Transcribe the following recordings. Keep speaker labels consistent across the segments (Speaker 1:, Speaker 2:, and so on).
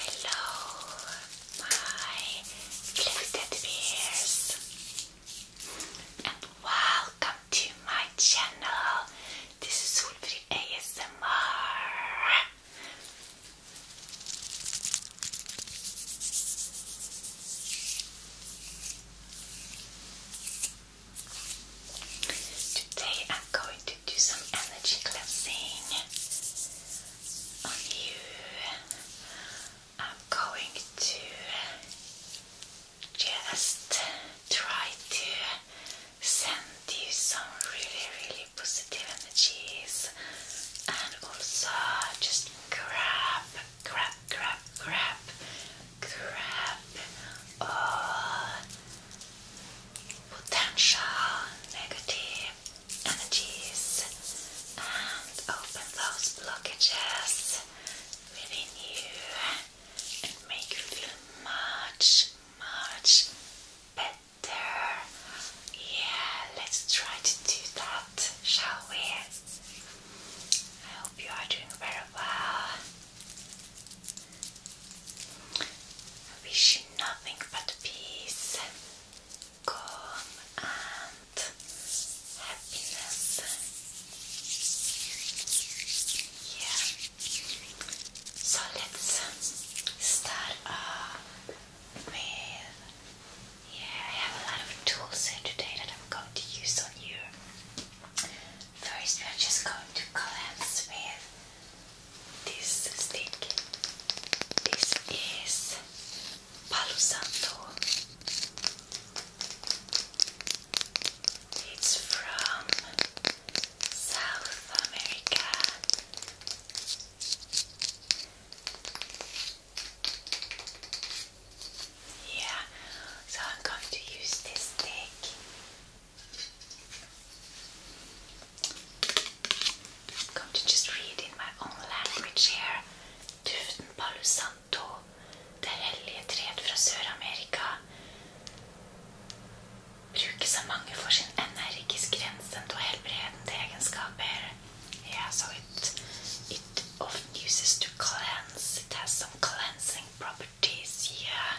Speaker 1: Hello, my lifted bears, and welcome to my channel. This is Solfrid ASMR. Today I'm going to do some energy cleansing on you. I'm going to just try to send you some really, really positive energies and also just crap, crap, crap, crap, crap. all potential negative energies and open those blockages within you and make you feel much, much better. Yeah, let's try to do that, shall we? I hope you are doing very well. I wish you nothing but peace, calm, and happiness. Yeah. So let's start with. Yeah, I have a lot of tools here today that I'm going to use on you. First, we're just going to cleanse with this stick. This is Palo Santo. It's from South America. Yeah, so I'm going to use this stick I'm going just read in my own language here. Tusen palo santo, det hellige tred fra Sør-Amerika, brukes av mange for sin energisk grensende og helbredende egenskaper. Yeah, so it, it often uses to cleanse. It has some cleansing properties. Yeah.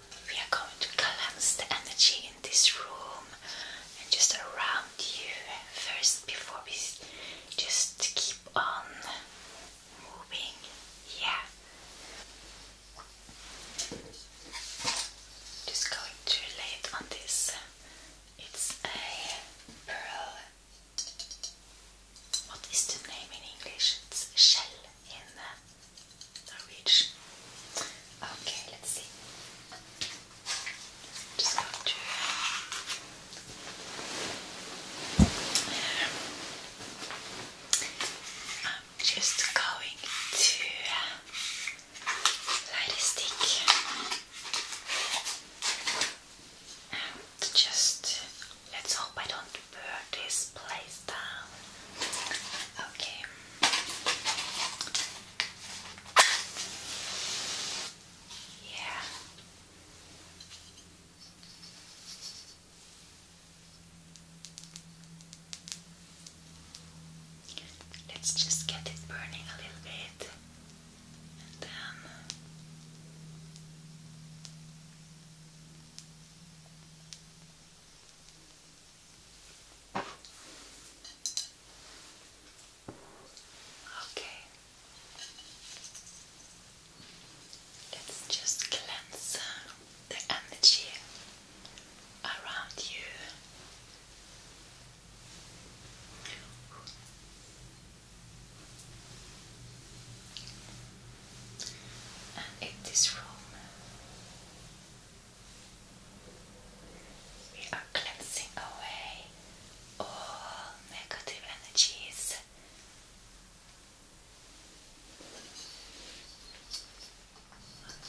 Speaker 1: we are going to cleanse the energy in this room and just around you first before we just keep on moving. Yeah. Just going to lay it on this. It's a pearl. What is the name in English? It's shell in uh, Norwegian. Okay, let's see. Just going to I'm just going to light a stick and just let's hope I don't put this place down. Okay. Yeah. Let's just get it burning a little bit and then Okay. Let's just cleanse uh, the energy around you. And this room, we are cleansing away all negative energies.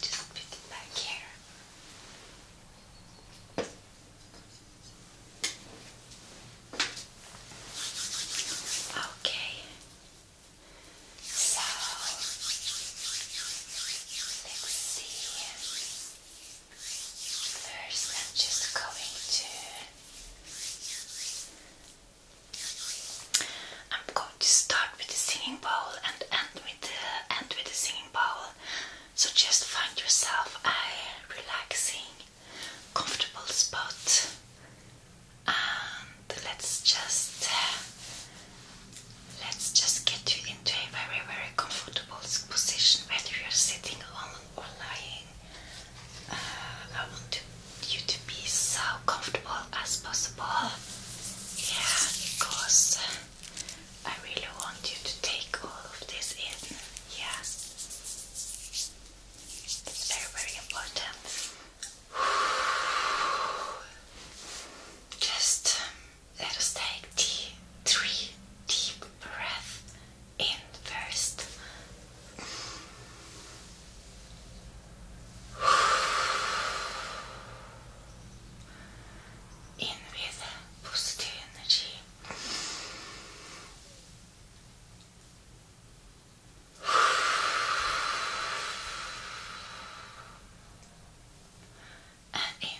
Speaker 1: just put it back here. Okay, so let's see. First, I'm just going to. I'm going to start with the singing bowl and end with the end with the singing bowl. So just find yourself a relaxing, comfortable spot and let's just let's just get you into a very very comfortable position whether you're sitting on or lying uh, I want you to be as comfortable as possible yeah because I really want you to take all of this in yeah very very important Just let us take tea, three deep breaths in first. In with positive energy. and in. Okay.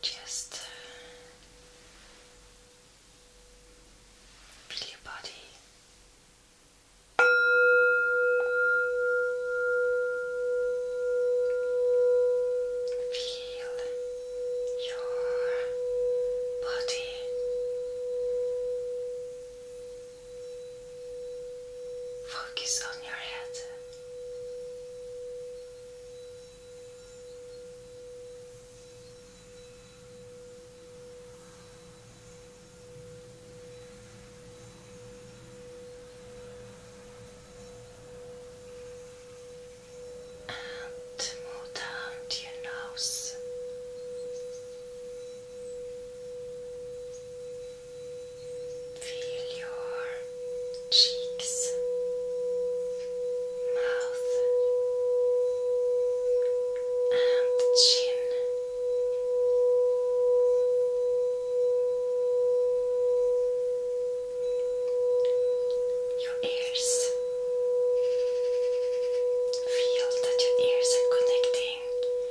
Speaker 1: Just uh, feel your body. Feel your body. Focus on your head. And move down your nose. Feel your cheeks, mouth, and chin. Your ears. Feel that your ears are connecting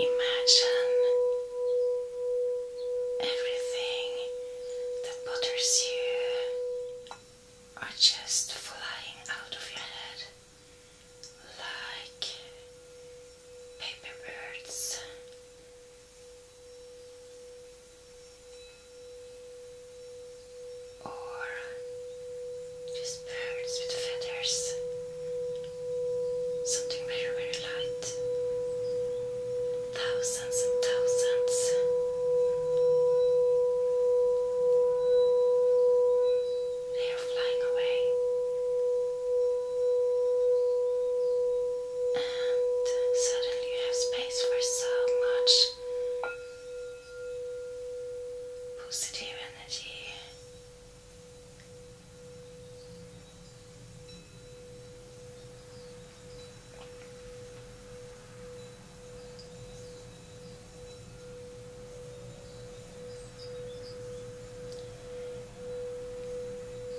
Speaker 1: Imagine everything that bothers you are just flying out of your head like paper birds. Or just birds with feathers. Something very, very light. Thousands and thousands. They are flying away. And suddenly you have space for so much positive energy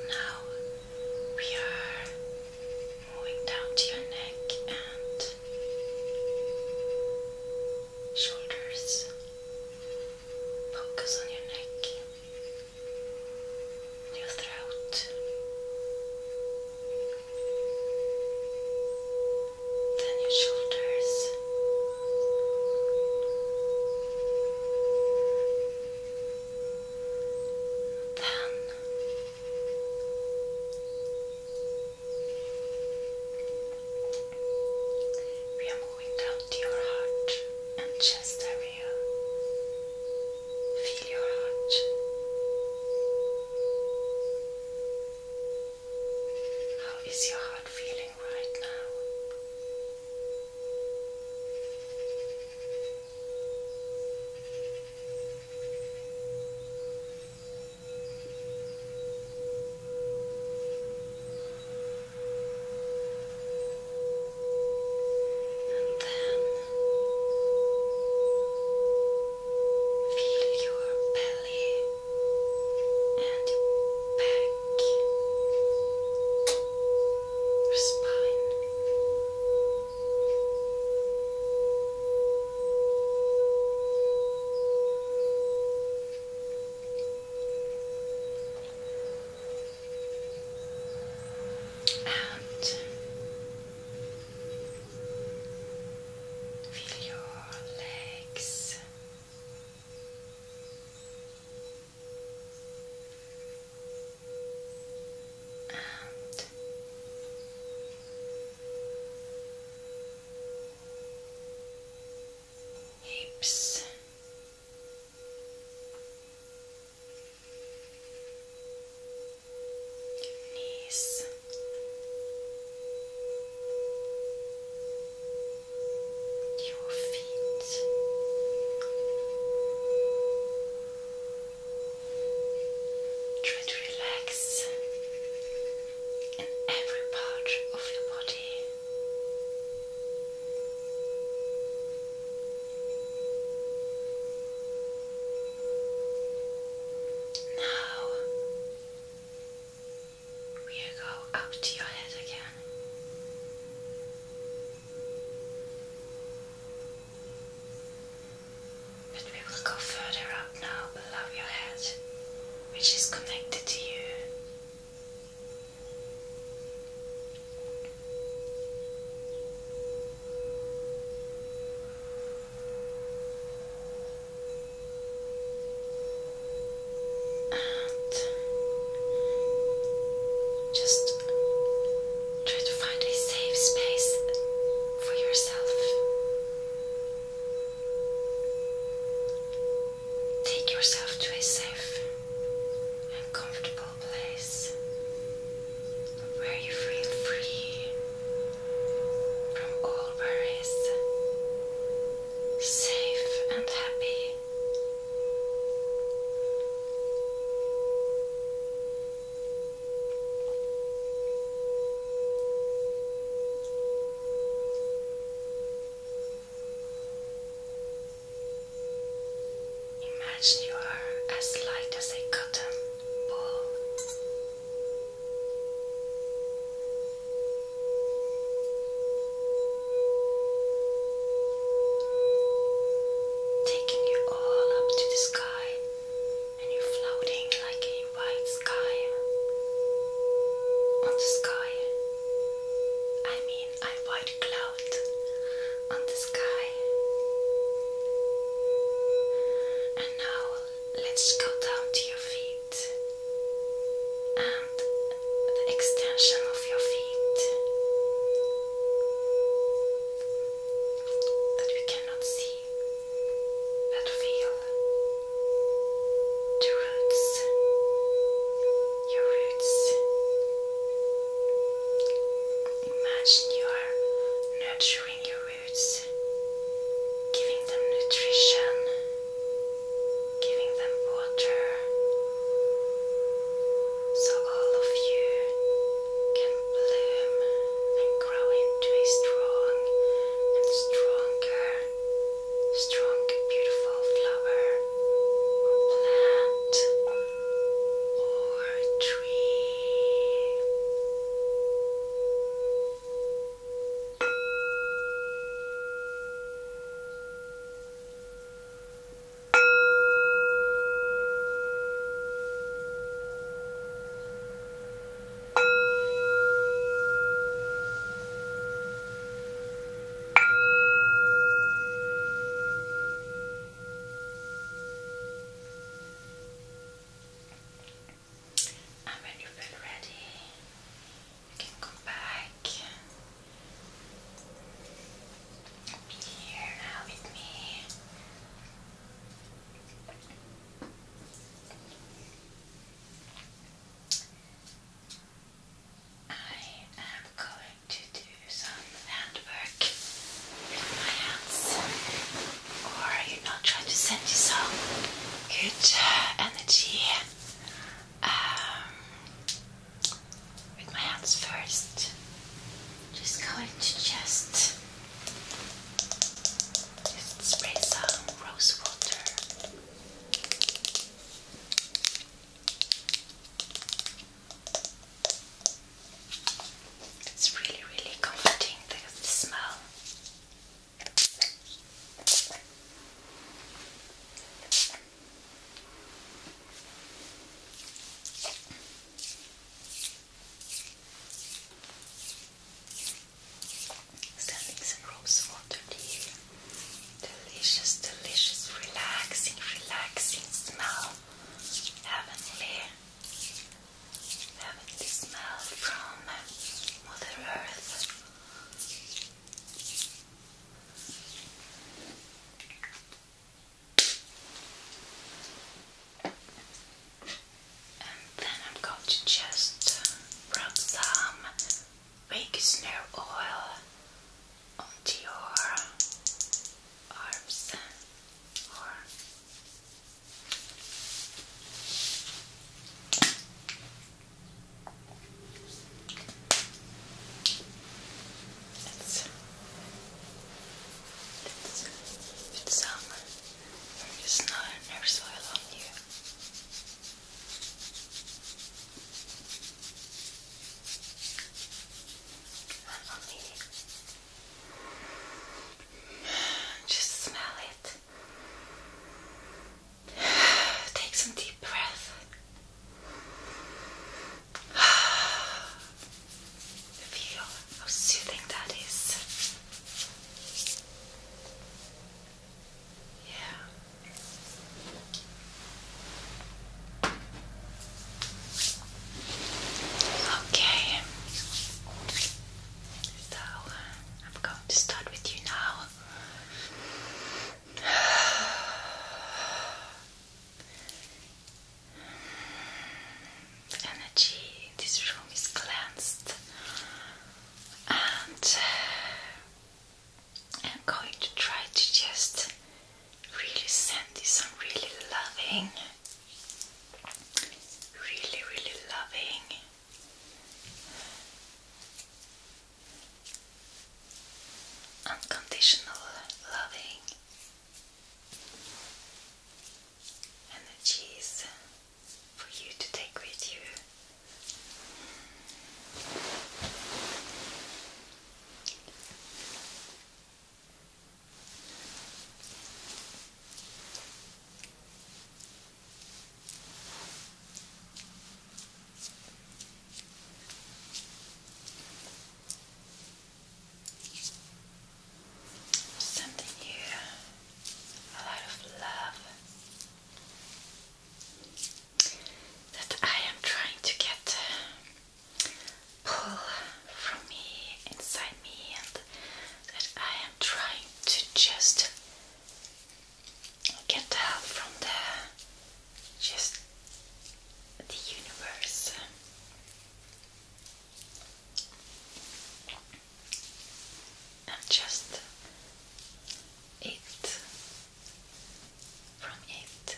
Speaker 1: now we are moving down to your neck and shoulders. Focus on your neck, your throat. Then your shoulders, then we are without your heart and chest area. Feel your heart. How is your heart feeling right now? And then feel your belly and back, your spine and feel your legs. And hips, knees. Your feet, try to relax in every part of your body. Now we go up to your head again. But we will go further up now below your head, which is connected to you just try to find a safe space for yourself. Take yourself to a safe and comfortable peaceful place where you feel free from all worries, safe and happy. Imagine you are as light as a cotton ball. Taking you all up to the sky, and you're floating like a white sky on the sky. I mean, I'm white cloud on the sky. And now let's go down to your feet and the extension of your feet that we cannot see but feel the roots your roots. Imagine you are nurturing your roots, giving them nutrition, giving them water, so all of you can bloom and grow into a strong and stronger, strong, beautiful flower or plant or a tree. And when you feel ready, you can come back be here now with me. I am going to do some handwork with my hands. Or you know, try to send you some good uh, energy um, with my hands first. Just going to just just some rose water it's really, really comforting, the, the smell. Standing some rose water here. Delicious, delicious, relaxing, relaxing smell heavenly, heavenly smell from Mother Earth. And then I'm going to just rub some baking snow oil onto your arms or it's, it's, it's summer, there is no inner on you. Only just smell it. Take some deep breath. Feel how soothing that is. Yeah. Okay, so I'm going to start with you now. Energy in this room is cleansed, and I'm going to try to just really sandy, so I'm really loving, really, really loving. Unconditional loving energies for you to take with you. Sending you a lot of love that I am trying to get pull from me, inside me, and that I am trying to just get help from the just the universe. And just it from it.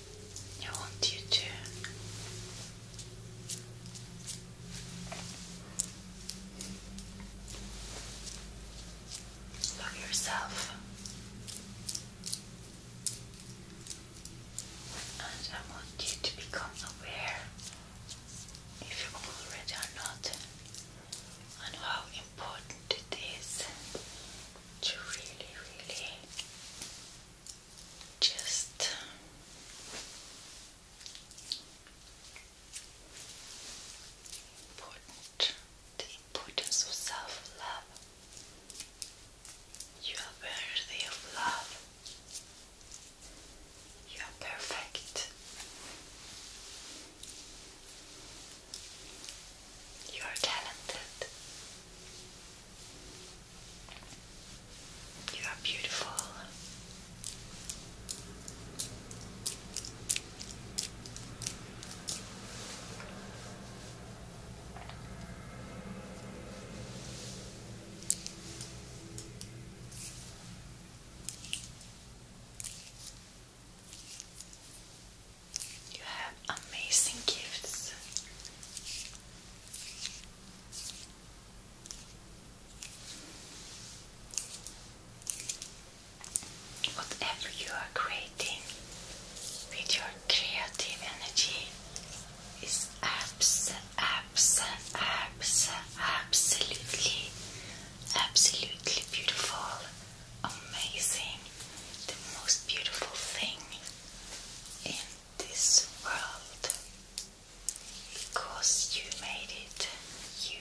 Speaker 1: I want you to love yourself, and I want you to become aware if you already are not, and how important it is to really, really just important the importance of self-love. You are worthy of love. You are perfect. You are talented. You are beautiful. You have amazing gifts. Whatever you are creating with your creative energy is abs abs abs absolutely absolutely beautiful, amazing, the most beautiful thing in this world. Because you made it. You,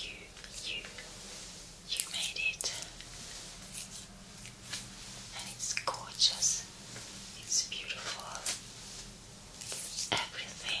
Speaker 1: you, you, you made it. And it's gorgeous. It's beautiful. It's everything.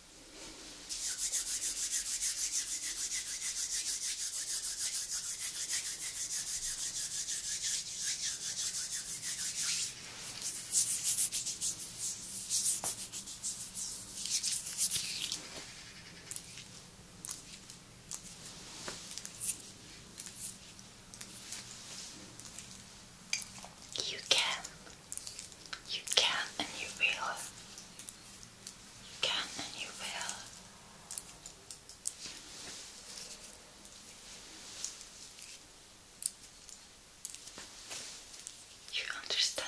Speaker 1: You can you can and you will. You can and you will. You understand.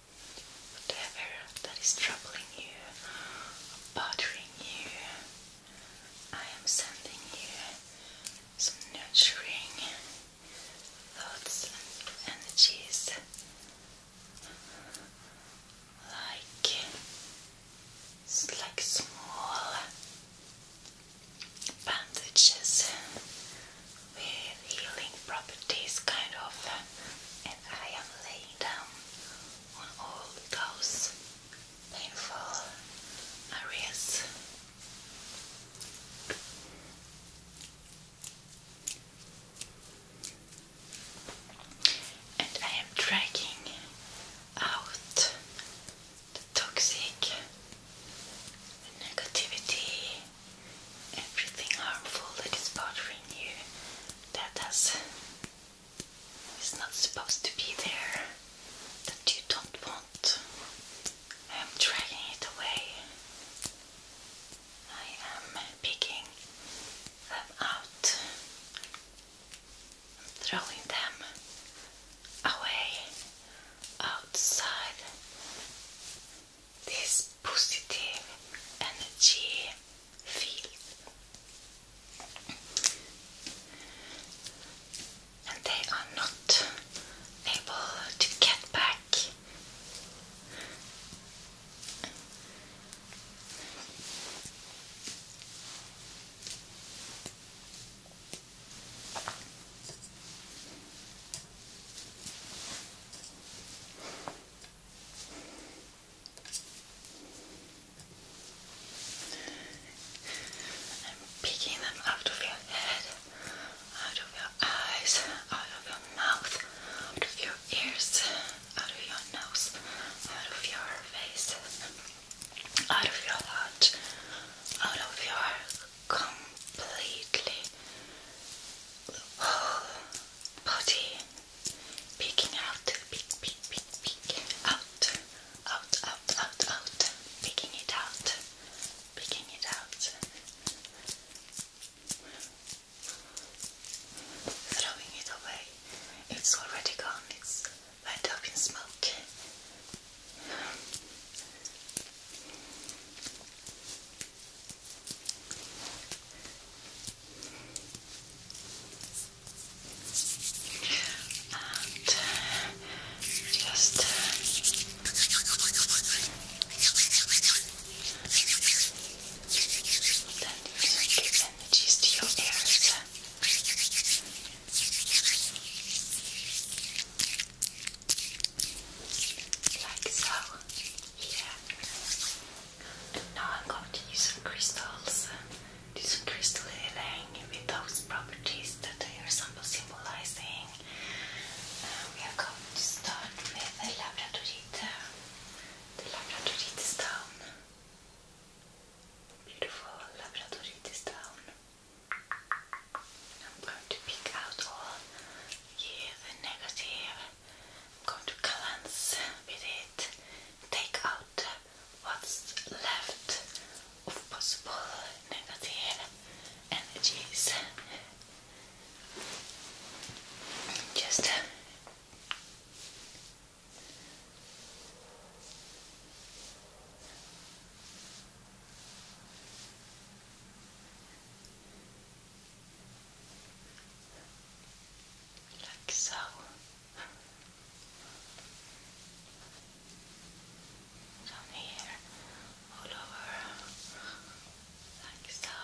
Speaker 1: whatever that is troubling you or bothering you, I am sending you some nurturing thoughts and energies like like small bandages with healing properties kind of I am laying down on all those painful areas. And I am dragging out the toxic, negativity, everything harmful that is bothering you that is, is not supposed to be there, that you don't want. I am dragging it away. I am picking them out and throwing them away outside this positive energy field. And they are not able to get back. I'm picking them out of your head, out of your eyes, out of your mouth, out of your ears, out of your nose, out of your face, out of your heart, out of your completely whole body. Peeking out, peek, peek, peek, peek, out, out, out, out, out, peeking it out, peeking it out, throwing it away. It's already gone, it's went up in smoke. And just let it give energies to your ears. Like so. Yeah now I'm going to use some crystals. This crystal healing er with those properties that they are symbolizing. we um, are going to start with the labradorite. The labradorite stone. Beautiful labradorite stone. I'm going to pick out all yeah, the negative I'm going to cleanse with it, take out what's left of possible negative energies. Just uh, like so. Down here, all over, like so,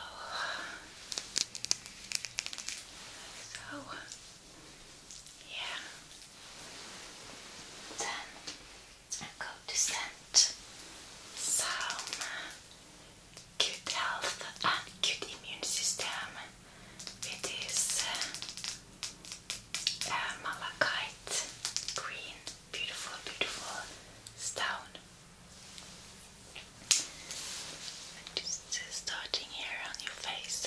Speaker 1: so, yeah. Then go to scent some good health and good immune system It is uh, uh, malachite green, beautiful, beautiful stone. Just uh, starting here on your face,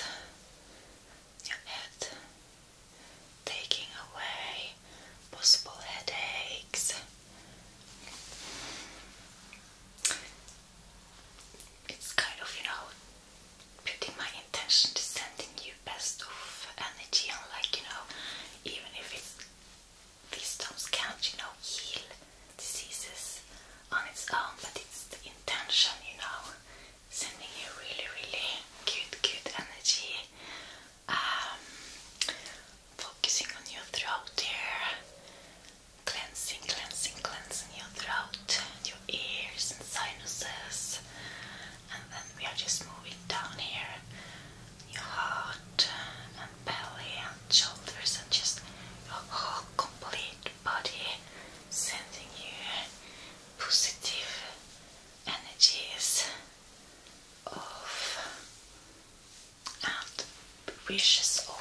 Speaker 1: your head, taking away possible headaches it's kind of, you know, putting my intention to sending you best of energy and like, you know, even if it's these stones can't, you know, heal diseases on its own, but it's the intention, you know, sending you really, really good, good energy. Um, focusing on your throat here cleansing, cleansing, cleansing your throat and your ears and sinuses. And then we are just moving down here, your heart and belly and shoulders and just your whole complete body, sending you positive energies of and wishes of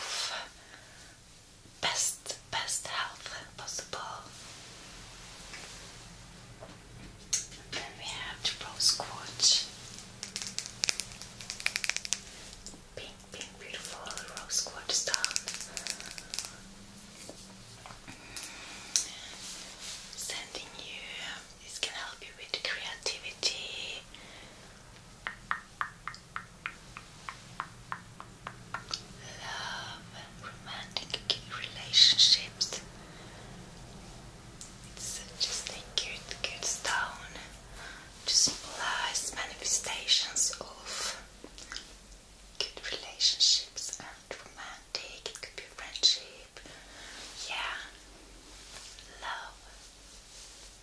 Speaker 1: best best health possible. then we have rose quartz. Pink, pink, beautiful rose quartz stone. Sending you, this can help you with creativity love, romantic relationships. It's just a good, good stone Just symbolize manifestations of good relationships and romantic. It could be friendship, yeah, love.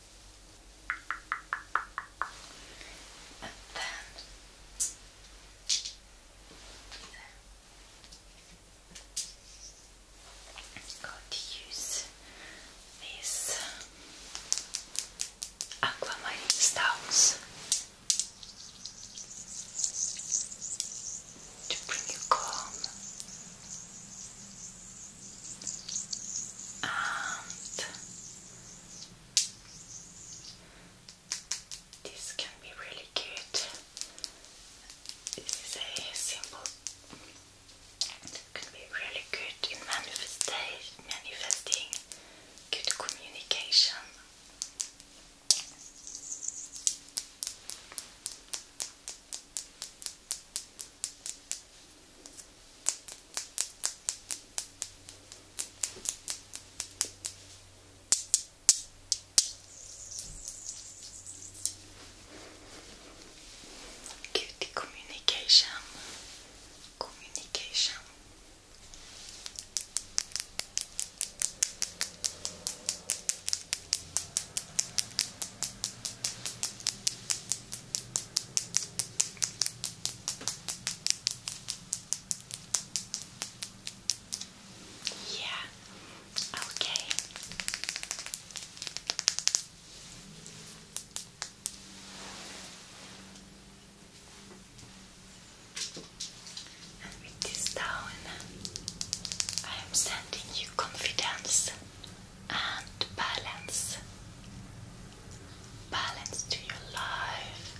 Speaker 1: And I'm going to use these aquamarine stones to bring you calm and this can be really good. This is a symbol. it can be really good in manifesting good communication. Good communication, communication. Yeah, okay. And with this down, I am sending you confidence and balance balance to your life,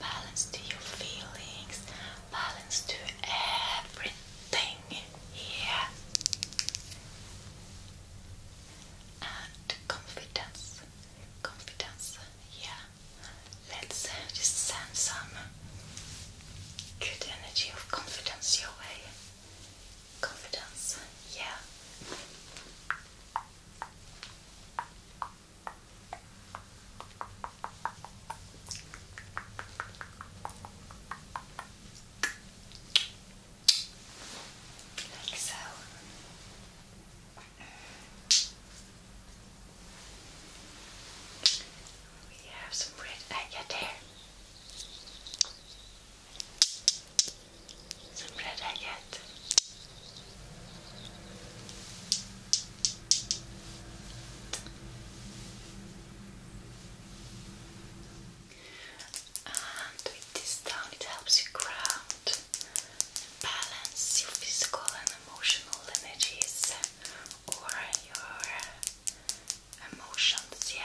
Speaker 1: balance to your feelings, balance to everything here, and confidence, confidence, yeah. Let's just send some good energy of confidence your way. Confidence, yeah. Like so. We have some red agate there some bread I get. And with this down, it helps you ground balance your physical and emotional energies or your emotions. Yeah.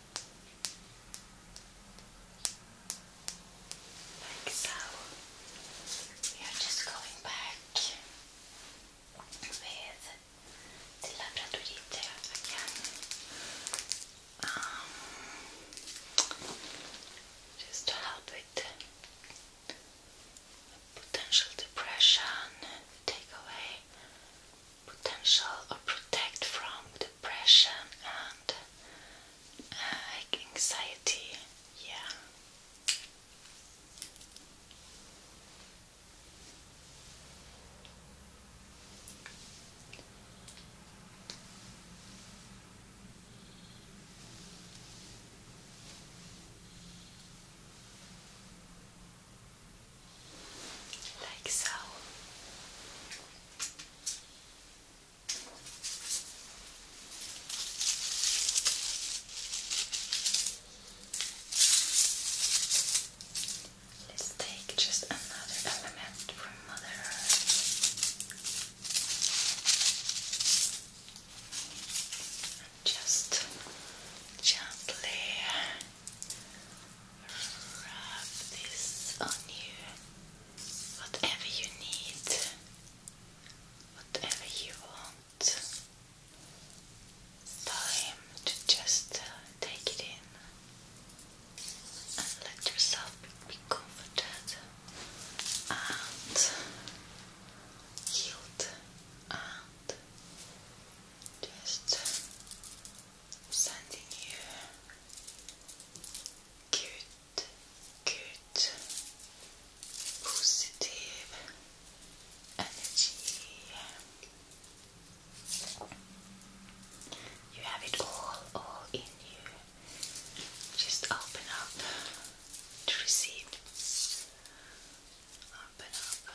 Speaker 1: Like so. We are just going back with the labradorite again. Um, just to help with potential depression, take away potential or protect from depression and uh, anxiety. Yeah like so. Let's take just another element from Mother Earth and just gently rub this on you, whatever you need, whatever you want. Time to just uh, take it in and let yourself be comforted and healed and just sending you good, good, positive energy. You have it all, all in you. Just open up to receive. Open up.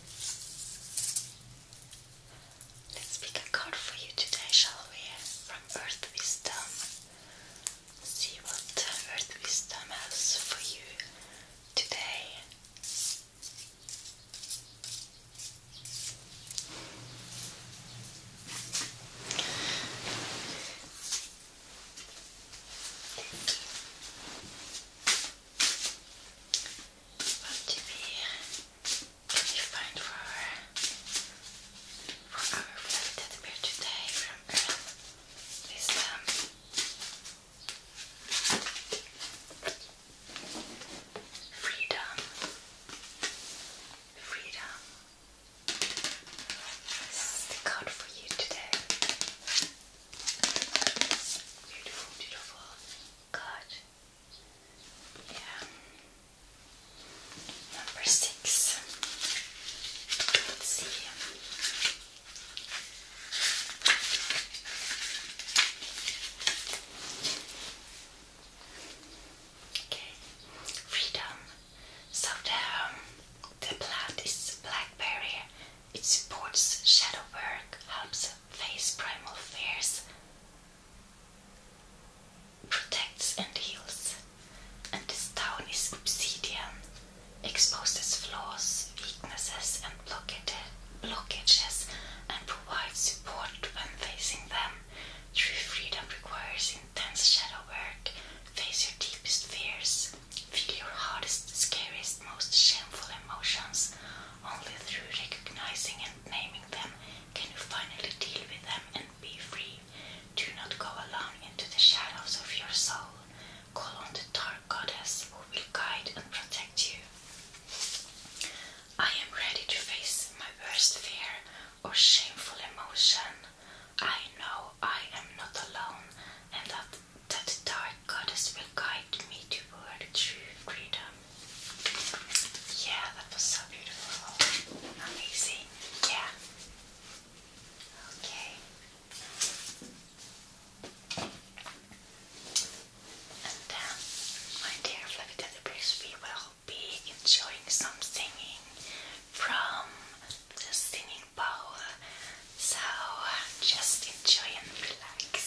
Speaker 1: Let's pick a card for you today, shall we? From Earth Wisdom. See what Earth Wisdom has for you today. What do we find for for our fluffy today from Earth? Um, freedom, freedom. This is the card for you today. Beautiful, beautiful. Good. Yeah. Number six. Let's see. Okay. Freedom. So the um, the plant is blackberry it supports shadow work, helps face primal fears, protects and heals. And this town is obsidian, exposes flaws, weaknesses, and blockages, and provides support when facing them. True freedom requires intense shadow work. Face your deepest fears, feel your hardest, scariest, most shameful emotions, only through recognizing and naming them can you finally deal with them and be free. Do not go alone into the shadows of your soul. Call on the dark goddess who will guide and protect you. I am ready to face my worst fear or shameful emotion. I know I am not alone and that that the dark goddess will guide me toward true freedom. Yeah, that was so beautiful. Amazing. Yeah. Okay. And then, my dear Fluffy Teddy Bears, we will be enjoying some singing from the singing bowl so just enjoy and relax.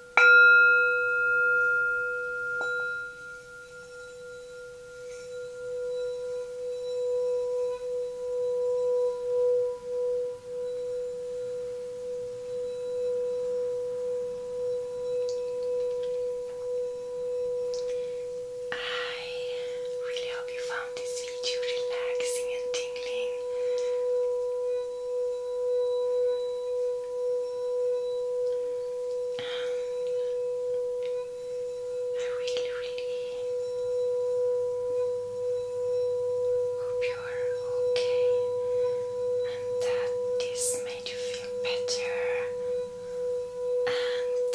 Speaker 1: I really hope you found this video relaxing and tingling. Um, I really, really hope you're okay and that this made you feel better. And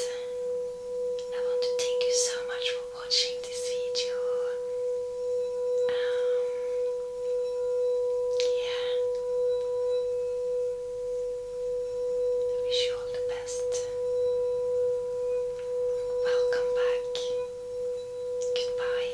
Speaker 1: I want to thank you so much for watching this video. Um, yeah. I wish you all the best. Welcome back. Goodbye.